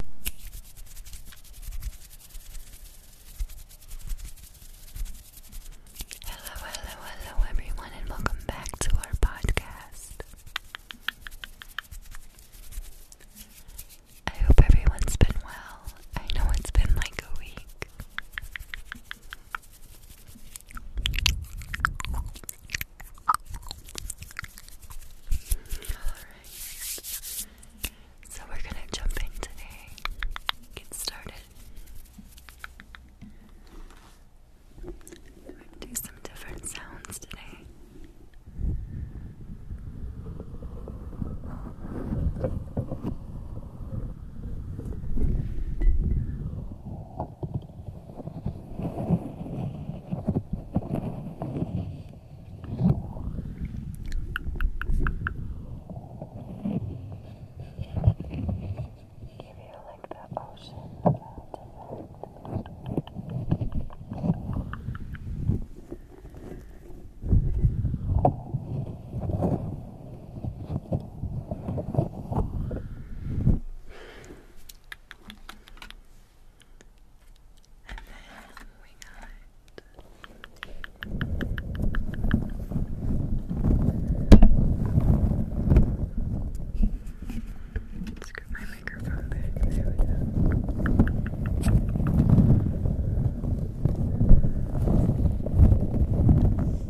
Hello, hello, hello, everyone, and welcome back to our podcast. I hope everyone's been well. I know it's been like a week. So we're gonna jump in today. Get started. do some different sounds today feel like the ocean about to melt. And then we my microphone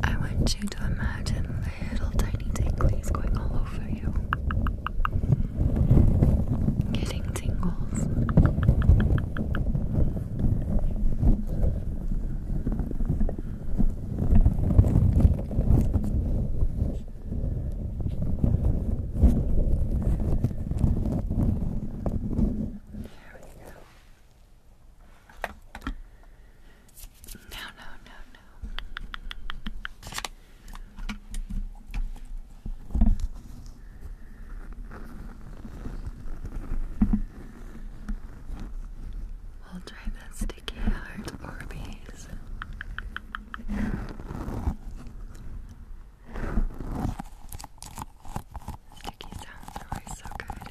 I want you to imagine little tiny tinglies going all over you getting tingles. There we go. No, no, no, no. We'll try that sticky heart Orbeez. Sticky sounds always so good.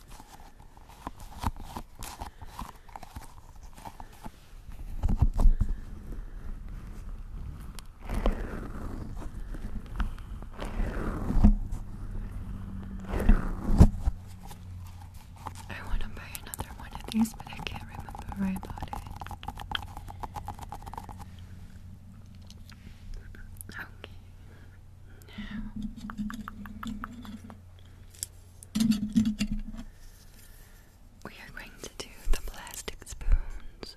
I want to buy another one of these, but I can't remember where I bought it. Okay. Now. We are going to do the plastic spoons.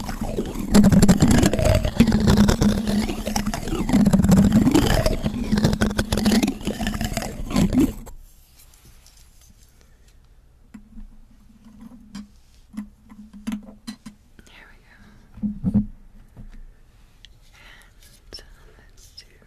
There we go. And uh, let's do.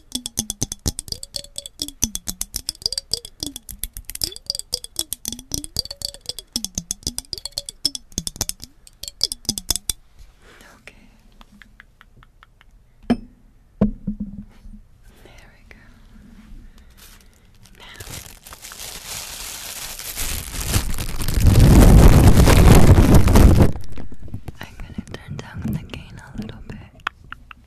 Okay. There we go. Now. I'm going to turn down the gain a little bit.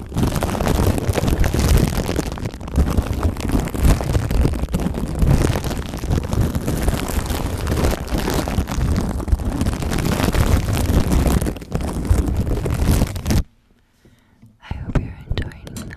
I hope you're enjoying that.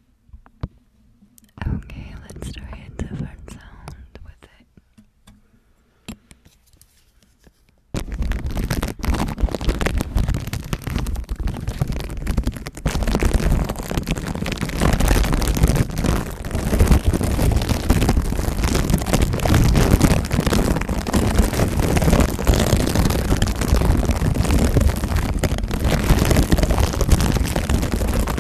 Okay, let's try a different sound with it.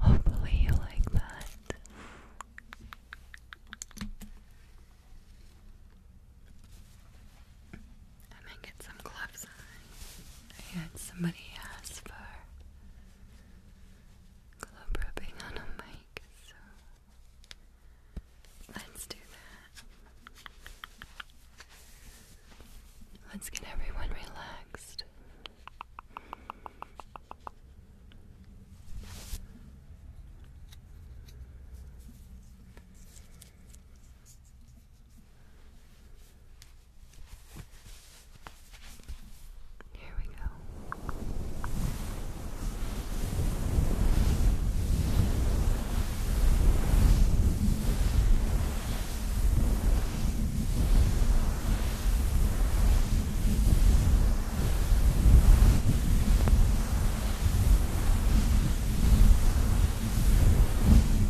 Hopefully, you like that. I'm gonna get some gloves on. I had somebody ask for globe rubbing on a mic, so let's do that. Let's get everyone relaxed. Here we go. Here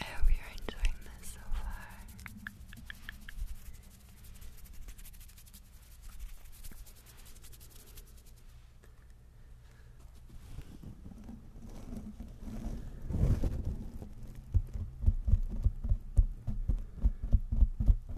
I hope you're enjoying this so far.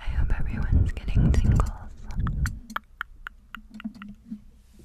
I hope everyone's getting tingles.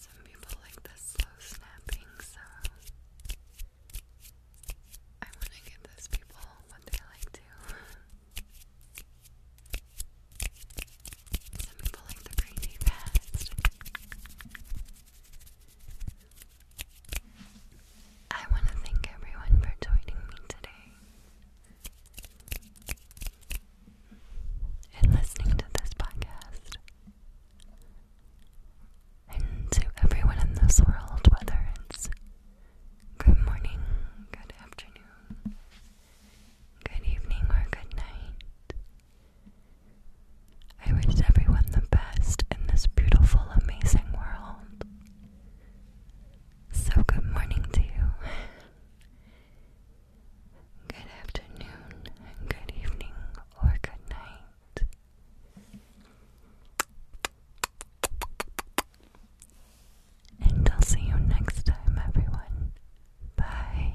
Some people like the slow snapping, so I want to give those people what they like to. Some people like the crazy fast. I want to thank everyone for joining me today and listening to this podcast. And to everyone in this world, whether it's good morning, good afternoon, good evening, or good night, I wish everyone the best in this beautiful, amazing world. So, good morning to you. Good afternoon, and good evening, or good night. And I'll see you next time, everyone. Bye.